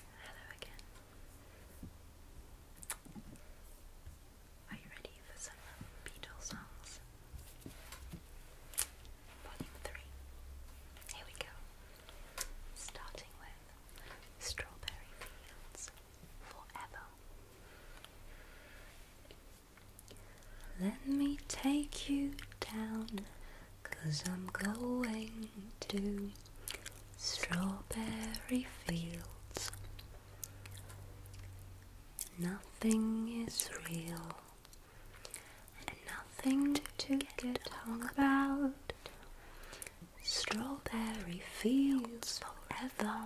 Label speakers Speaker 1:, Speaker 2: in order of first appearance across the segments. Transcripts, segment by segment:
Speaker 1: Hello again. Are you ready for some Beatles songs? Volume 3. Here we go. Starting with Strawberry Fields Forever. Let me take you down, i I'm going to strawberry fields. Nothing is real, nothing to get hung about. Strawberry fields forever.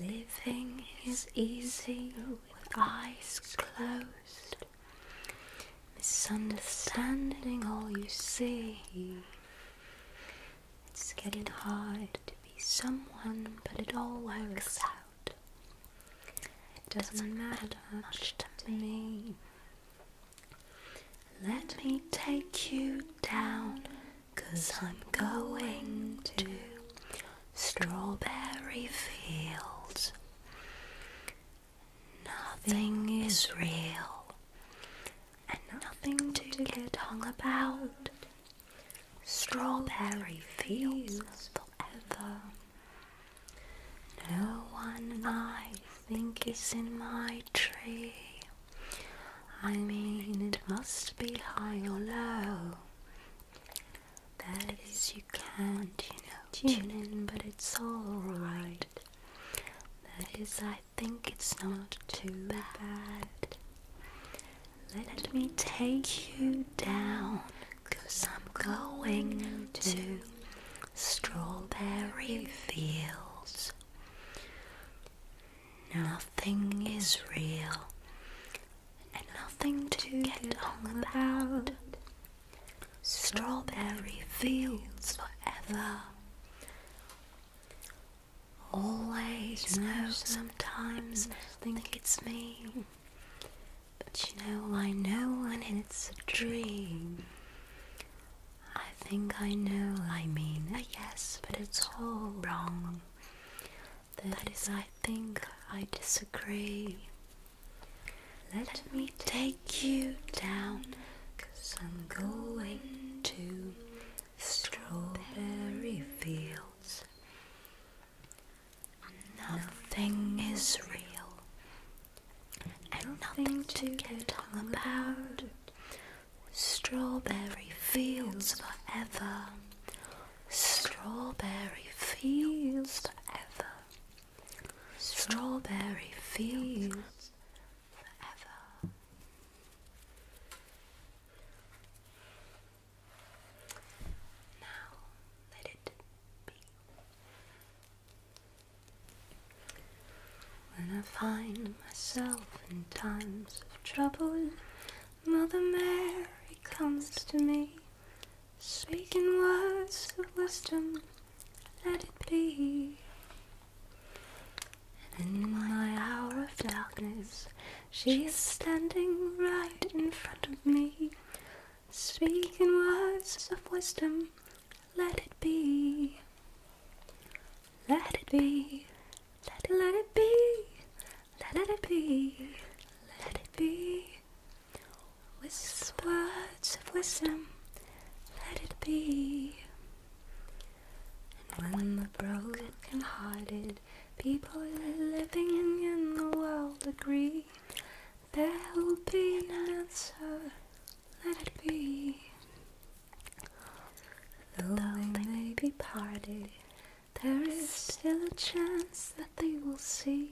Speaker 1: Living is easy with eyes closed. Misunderstanding all you see. It's getting hard to be someone, but it all works out. It doesn't matter much to me. Let me take you down, cause I'm going to Strawberry Fields. Nothing is real and nothing to get hung about. Strawberry fields forever. No one I think is in my tree. I mean, it must be high or low. That is, you can't, you know, tune in, but it's alright. That is, I think it's not too bad. Let me take you down, cause I'm going to strawberry fields. Nothing is real and nothing to get on about. Strawberry fields forever. Always know sometimes think it's me, but you know I know when it's a dream. I think I know I mean yes, but it's all wrong that is, I think, I disagree. Let, me take you down, cause I'm going to strawberry fields. Nothing is real, and nothing to get hung about. Strawberry fields forever. Strawberry fields forever. Strawberry fields forever. Now let it be. When I find myself in times of trouble, Mother Mary comes to me Speaking words of wisdom, let it be. And in my hour of darkness, she's standing right in front of me. Speaking words of wisdom, let it be. Let it be. Let it, let it be. Let it be. Let it be. With words of wisdom, let it be. And when the broken-hearted people living in the world agree, there will be an answer. Let it be. Though they may be parted, there is still a chance that they will see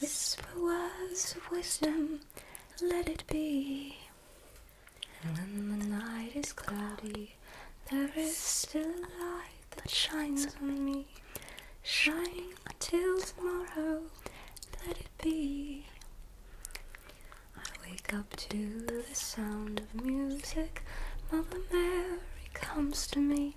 Speaker 1: Whisper words of wisdom, let it be. And when the night is cloudy, there is still a light that shines on me. Shining till tomorrow, let it be. I wake up to the sound of music, Mother Mary comes to me.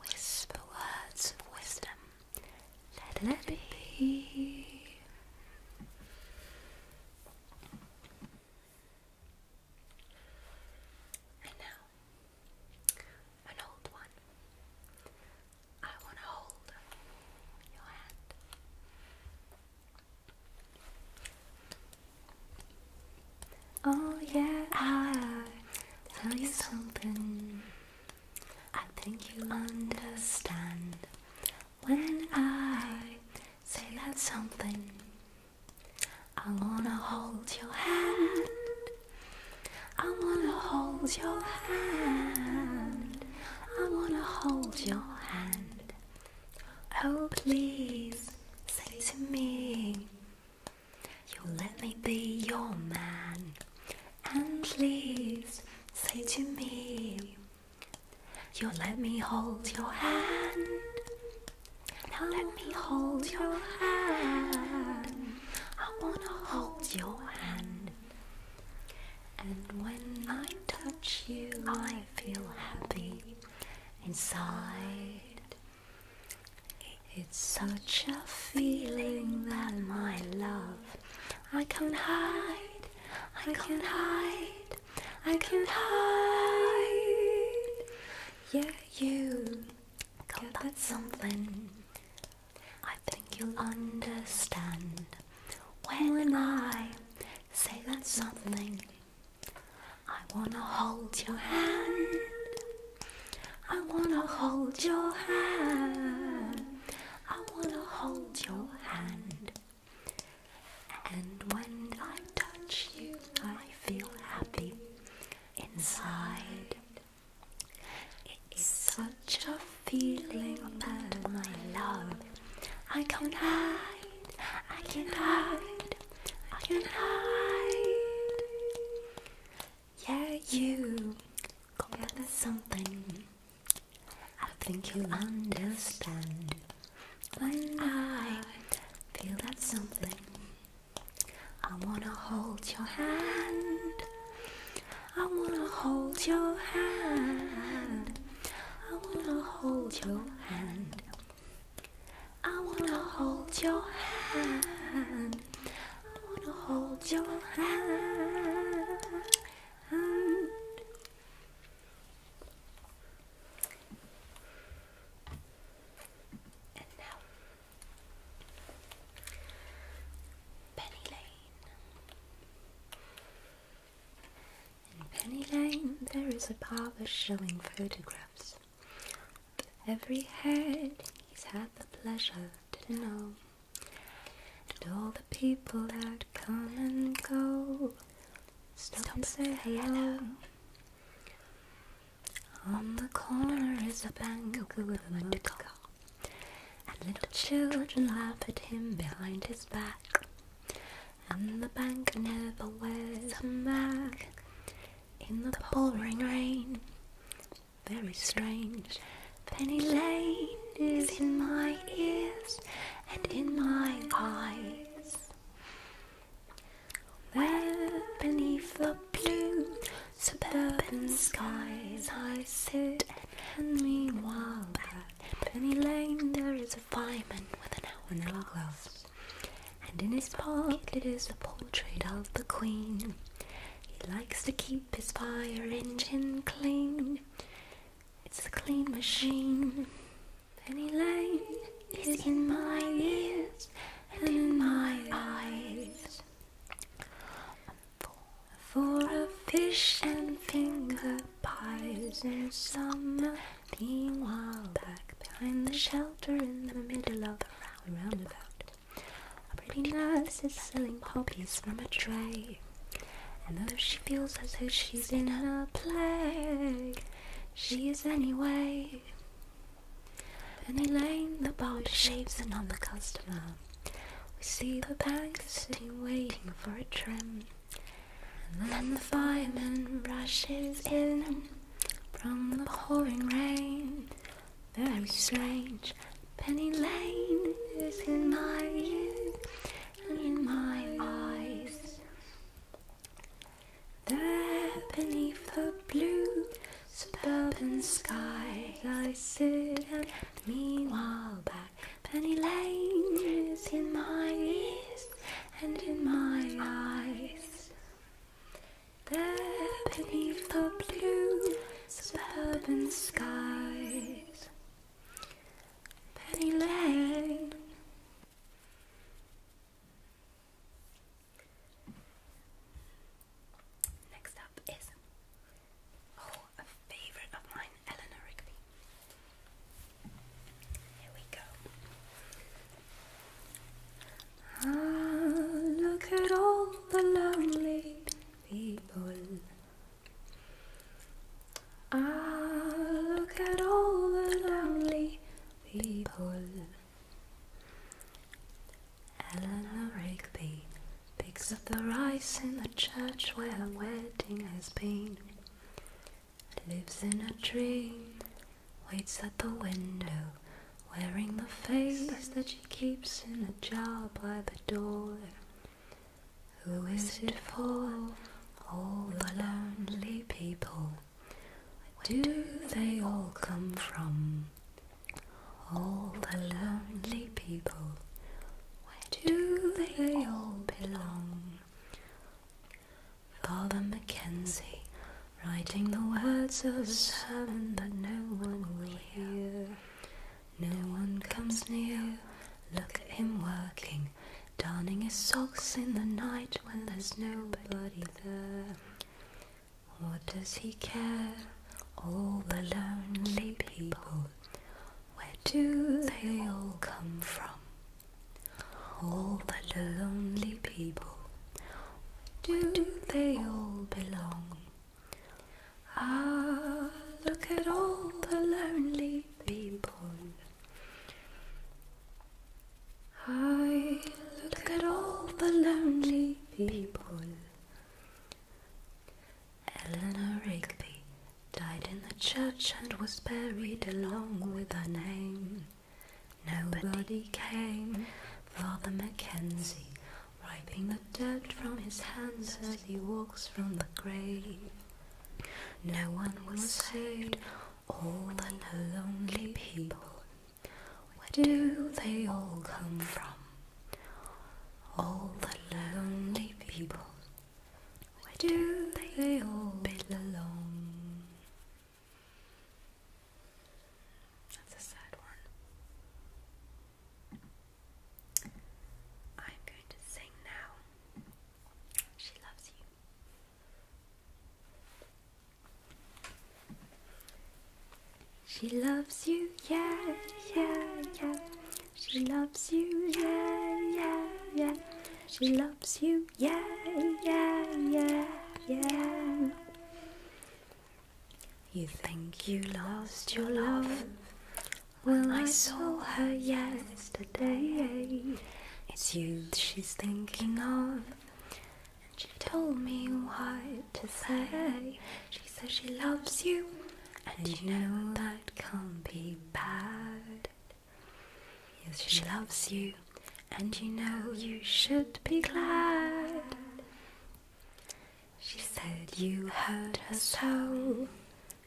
Speaker 1: Whisper words of wisdom. Let it, Let it be. And now, an old one. I want to hold your hand. Oh yeah, I ah, tell you something. I think you understand when I say that something. I wanna hold your hand. I wanna hold your hand. I wanna hold your hand. Oh please say to me. You let me be your man, and please say to me, You let me hold your hand. Now let me hold your hand. I wanna hold your hand. And when I touch you, I feel happy inside. It's such a feeling that my love I can't hide, I can't hide, I can't hide Yeah, you got that something I think you'll understand When I say that something I wanna hold your hand. I wanna hold your hand. I wanna hold your hand. And when I touch you, I feel happy inside. It's such a feeling that my love. I can't hide. I can't hide. I can't hide. Yeah, you got me something. I think you understand when I feel that something. I wanna hold your hand. I wanna hold your hand. I wanna hold your hand. I wanna hold your hand. I wanna hold your hand. And now, Penny Lane. In Penny Lane, there is a parlor showing photographs Every head he's had the pleasure to know, and all the people that come and go stop, stop and say hello. On the corner is a bank with a motor and little children laugh at him behind his back. And the bank never wears a mask in the, the pouring rain. Very strange. Penny Lane is in my ears and in my eyes. Where beneath the blue suburban skies I sit, and meanwhile, at Penny Lane there is a fireman with an hourglass. And in his pocket is a portrait of the Queen. He likes to keep his fire engine clean. It's a clean machine. Penny Lane is in my ears and in my eyes. For a fish and finger pies in summer, meanwhile back behind the shelter in the middle of the Valley Roundabout. A pretty nurse is selling poppies from a tray. And though she feels as though she's in her play, she is anyway. And a lane, the barber shaves in on the customer. We see the bank sitting waiting for a trim. And then the fireman rushes in from the pouring rain. Very strange. Penny Lane is in my ears and in my eyes. There beneath the blue suburban sky, I sit and meanwhile back. Penny Lane is in my ears and in my eyes. There beneath the blue suburban skies, Penny Lane. Next up is oh, a favourite of mine, Eleanor Rigby. Here we go. Ah, look at all the lonely people. Ah, look at all the lonely people. Eleanor Rigby picks up the rice in the church where a wedding has been. Lives in a dream waits at the window, wearing the face that she keeps in a jar by the door. Who is it for? All the lonely people. Where do they all come from? All the lonely people. Where do they all belong? Father Mackenzie Writing the words of silence that no one will hear. No one comes near. Look at him working, darning his socks in the night when there's nobody there. What does he care? All the lonely people, where do they all come from? All the lonely people do they all belong? Ah, look at all the lonely people. I look at all the lonely people. Eleanor Rigby died in the church and was buried along with her name. Nobody came Father Mackenzie, wiping the dirt from his hands as he walks from the grave. No one was saved, all the lonely people. Where do they all come from? All the lonely people. Where do they all belong? That's a sad one. I'm going to sing now. She loves you. She loves you, yeah, yeah, yeah. She loves you, yeah, yeah, yeah. She loves you, yeah, yeah, yeah, yeah. You think you lost your love? Well, I saw her yesterday. It's you she's thinking of. And she told me what to say. She says she loves you, and you know that can't be bad. Yes, she loves you and you know you should be glad. She said you hurt her so,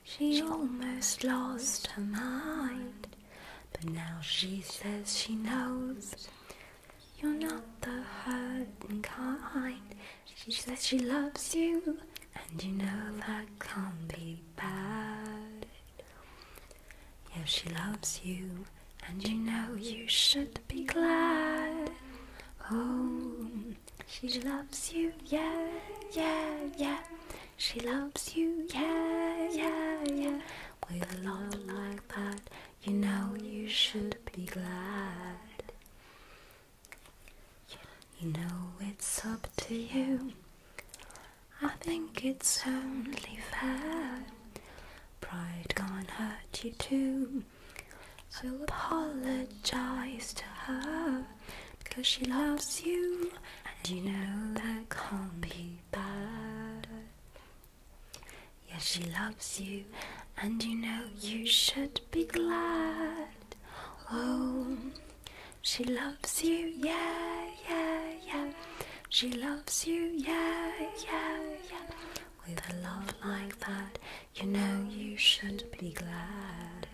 Speaker 1: she almost lost her mind. But now she says she knows you're not the hurting kind. She says she loves you, and you know that can't be bad. Yes, she loves you, and you know you should be glad. Oh, she loves you, yeah, yeah, yeah. She loves you, yeah, yeah, yeah. With a love like that, you know you should be glad. You know it's up to you. I think it's only fair. Pride can't hurt you too. So apologize to her because she loves you and you know that can't be bad. Yes, she loves you and you know you should be glad. Oh, she loves you, yeah, yeah, yeah. She loves you, yeah, yeah, yeah. With a love like that, you know you should be glad.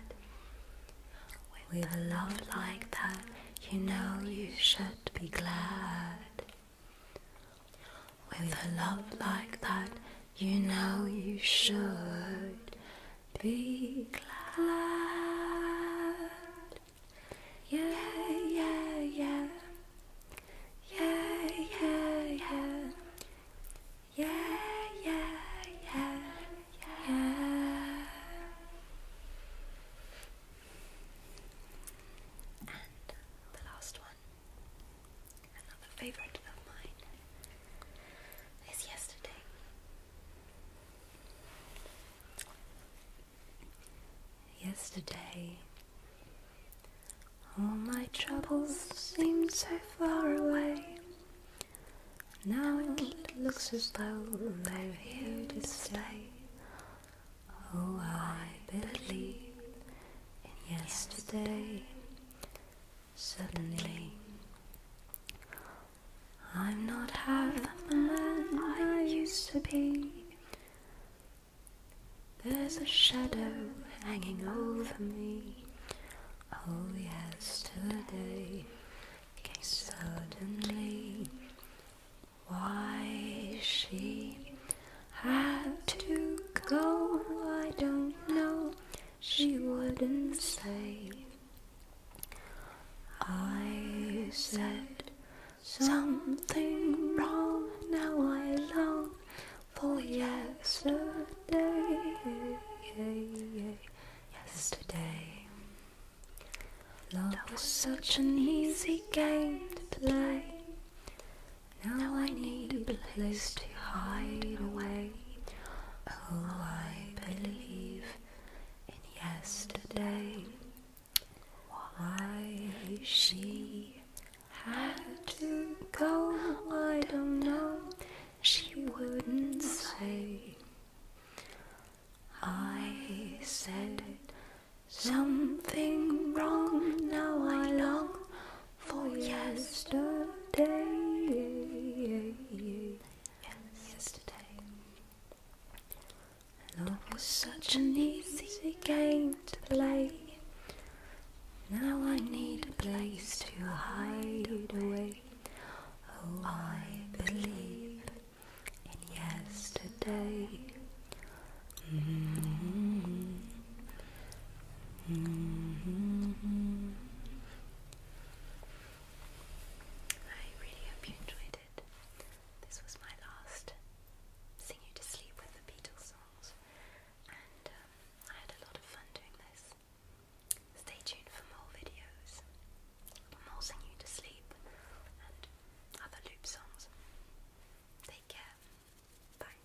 Speaker 1: With a love like that, you know you should be glad. With a love like that, you know you should be glad. Yeah, yeah, yeah. Yeah, yeah, yeah. Yeah, yeah, yeah, yeah. And the last one, another favourite of mine, is yesterday yesterday. All my troubles seemed so far away. Now it looks as though they're here to stay. Oh, I believe in yesterday. Suddenly, I'm not half the man I used to be. There's a shadow hanging over me. Oh, yesterday came suddenly. Why she had to go, I don't know. She wouldn't say. I said Something wrong now I long for yesterday. Yesterday, love was such an easy game to play. Now I need a place to hide away. Oh, I believe in yesterday. Why she had to go, I don't know. She wouldn't say. I said something wrong, now I long for yesterday. Yesterday. Love was such an easy game to play. Now I need a place to hide away. Oh, I believe in yesterday. Mm-hmm. Mm-hmm. I really hope you enjoyed it. This was my last Sing You to Sleep with the Beatles songs, and um, I had a lot of fun doing this. Stay tuned for more videos, more Sing You to Sleep, and other loop songs. Take care. Bye.